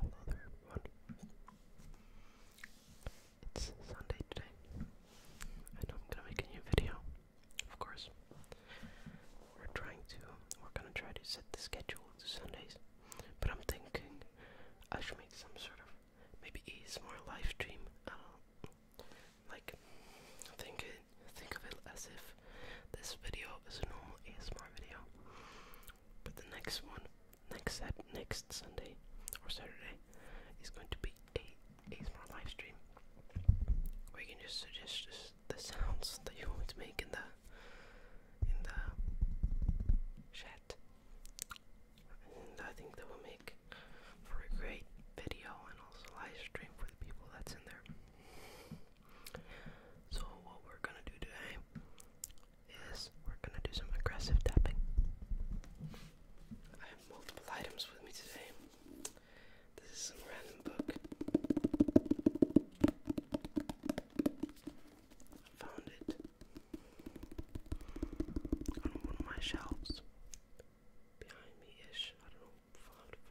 Hello there It's Sunday today, and I'm gonna make a new video, of course. We're trying to, we're gonna try to set the schedule to Sundays, but I'm thinking I should make some sort of, maybe more live stream, I don't know. Like, think, it, think of it as if this video is a normal ASMR video, but the next one, next set, next Sunday or Saturday, is going to be a ASMR live stream where you can just suggest the sounds that you want to make in the in the chat, and I think that will make for a great video and also live for the people that's in there. So what we're gonna do today is we're gonna do some aggressive tapping. I have multiple items with me today. This is some random book. I found it on one of my shelves behind me ish. I don't know,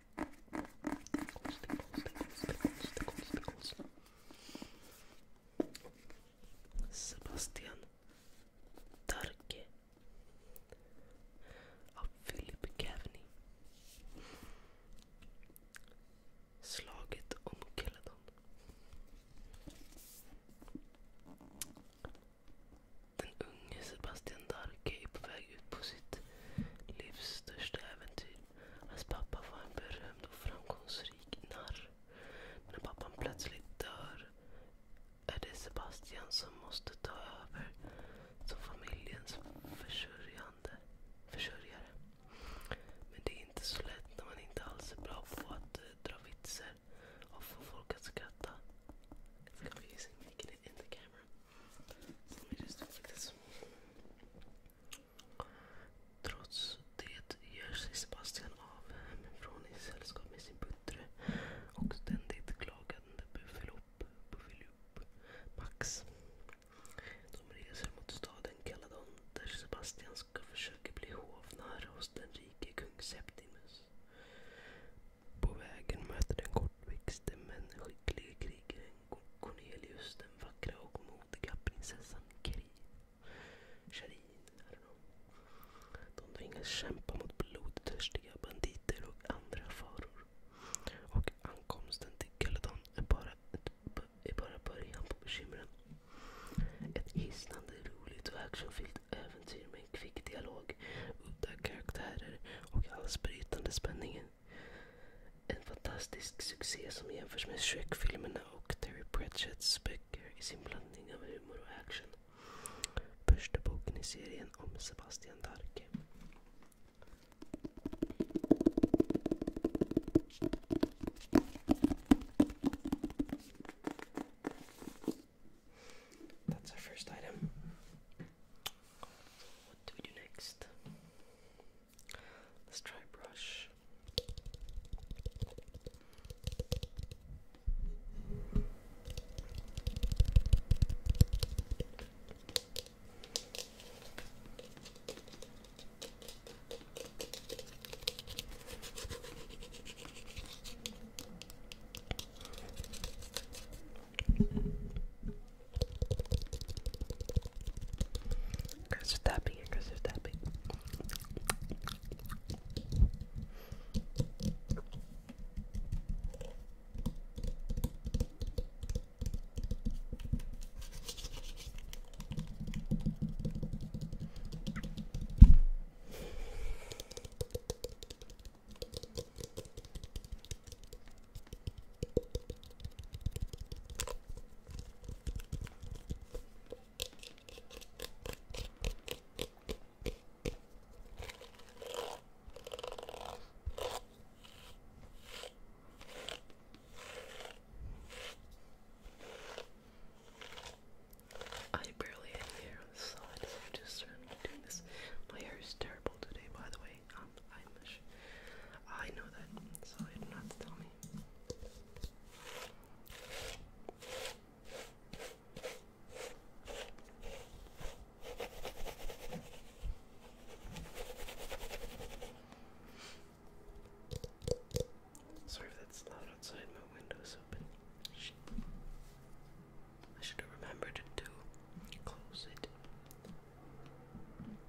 konstig, konstig, konstig. Sebastian Darke av Philip Cavney. Slaget om Caledon. Den unge Sebastian Darke är på väg ut på sitt livs största äventyr. Hans pappa var en berömd och framgångsrik narr. När pappan plötsligt dör är det Sebastian som måste ta över som familjens försörjande, försörjare. Men det är inte så lätt när man inte alls är bra på att eh, dra vitsar och få folk att skratta. It's confusing making it in the camera. Let me just do like this. Trots det gör sig Sebastian av från i sällskap med sin buttre och ständigt klagande Buffalopp, Buffalopp, Max. De reser mot staden Caladon där Sebastian ska försöka bli hovnare hos den rike kung Septimus. På vägen möter den kortväxte men skicklige krigaren Cornelius den vackra och modiga prinsessan Keri. De tvingas kämpa mot blodtörstiga banditer och andra faror. Och ankomsten till Caledon är bara, ett, är bara början på bekymren. Ett hisnande roligt och actionfyllt äventyr med en kvick dialog, udda karaktärer och halsbrytande spänning. En fantastisk succé som jämförs med Shrek-filmerna och Terry Pratchetts böcker i sin blandning av humor och action. Första boken i serien om Sebastian Darke. That's our first item. What do we do next? Let's try brush. Aggressive tapping, aggressive tapping. I barely had side, so I'm just certainly doing this. My hair is terrible today, by the way. Um, I'm Amish. I know that, so you don't have to tell me. Sorry if that's loud outside, my window's open. Shit. I should have remembered to close it.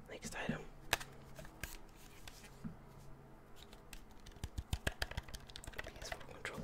Next item. ps controller.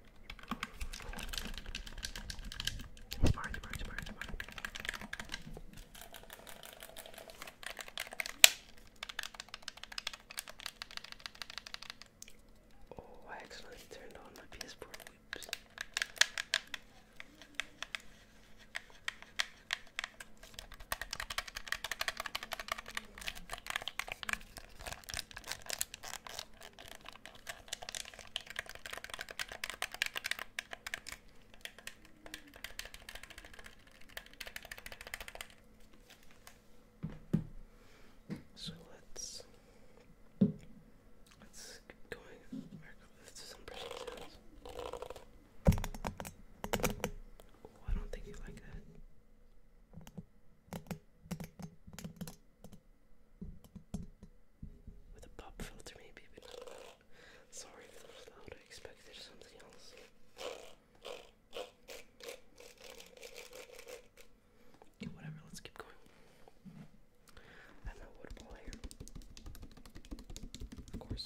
Oh, I accidentally turned on my PS4. So let's let's keep going. some brushing I don't think you like that. With a pop filter, maybe, Sorry if it was loud, I expected something else. whatever, let's keep going. I have my water ball here. Of course.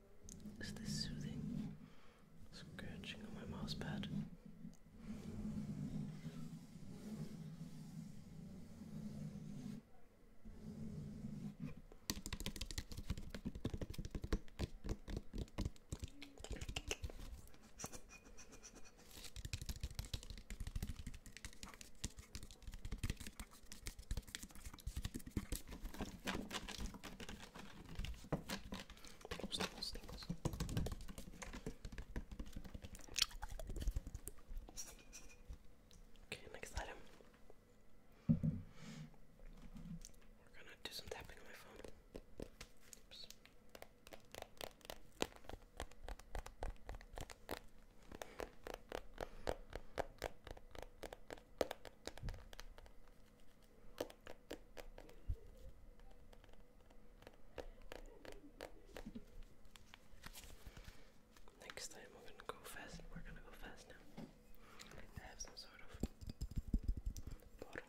Is this soothing? Scratching on my mouse pad. Okay, next item. We're gonna do some tapping on my phone. Next time we're gonna go fast. We're gonna go fast now. have some sort of bottle.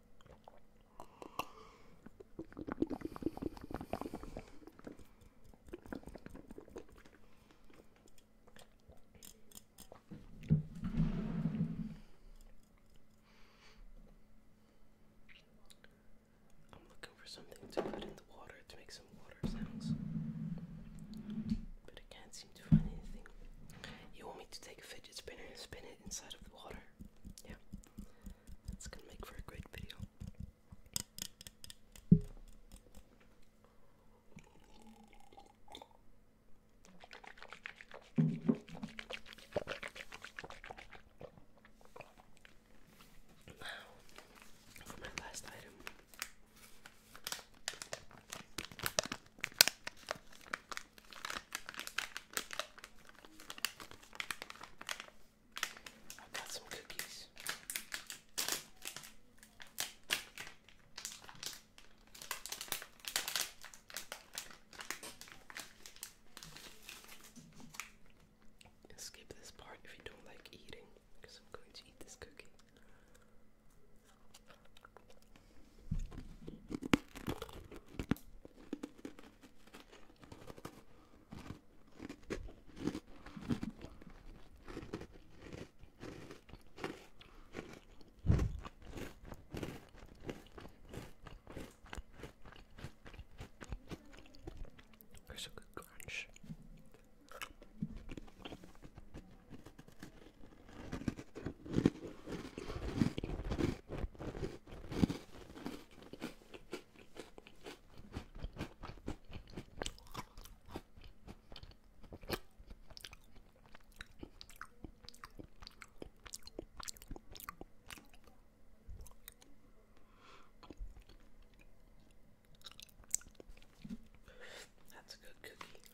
I'm looking for something to put in the water to make some water sounds, but I can't can You want me to take a fidget spinner and spin it inside of the water? Yeah. That's gonna make for a great video. Now, for my last item, I've got some cookies. Skip this part if you don't like eating, because I'm going to eat this cookie. There's a good crunch. That's a good cookie.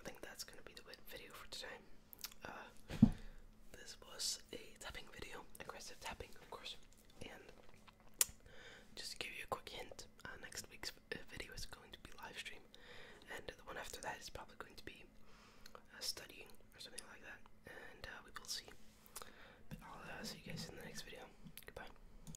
I think that's gonna be the video for today. Uh, this was a tapping video, aggressive tapping, of course, and just to give you a quick hint, uh, next week's uh, video is going to be live stream, and the one after that is probably going to be studying or something like that, and we will see. But I'll see you guys in the next video. Goodbye.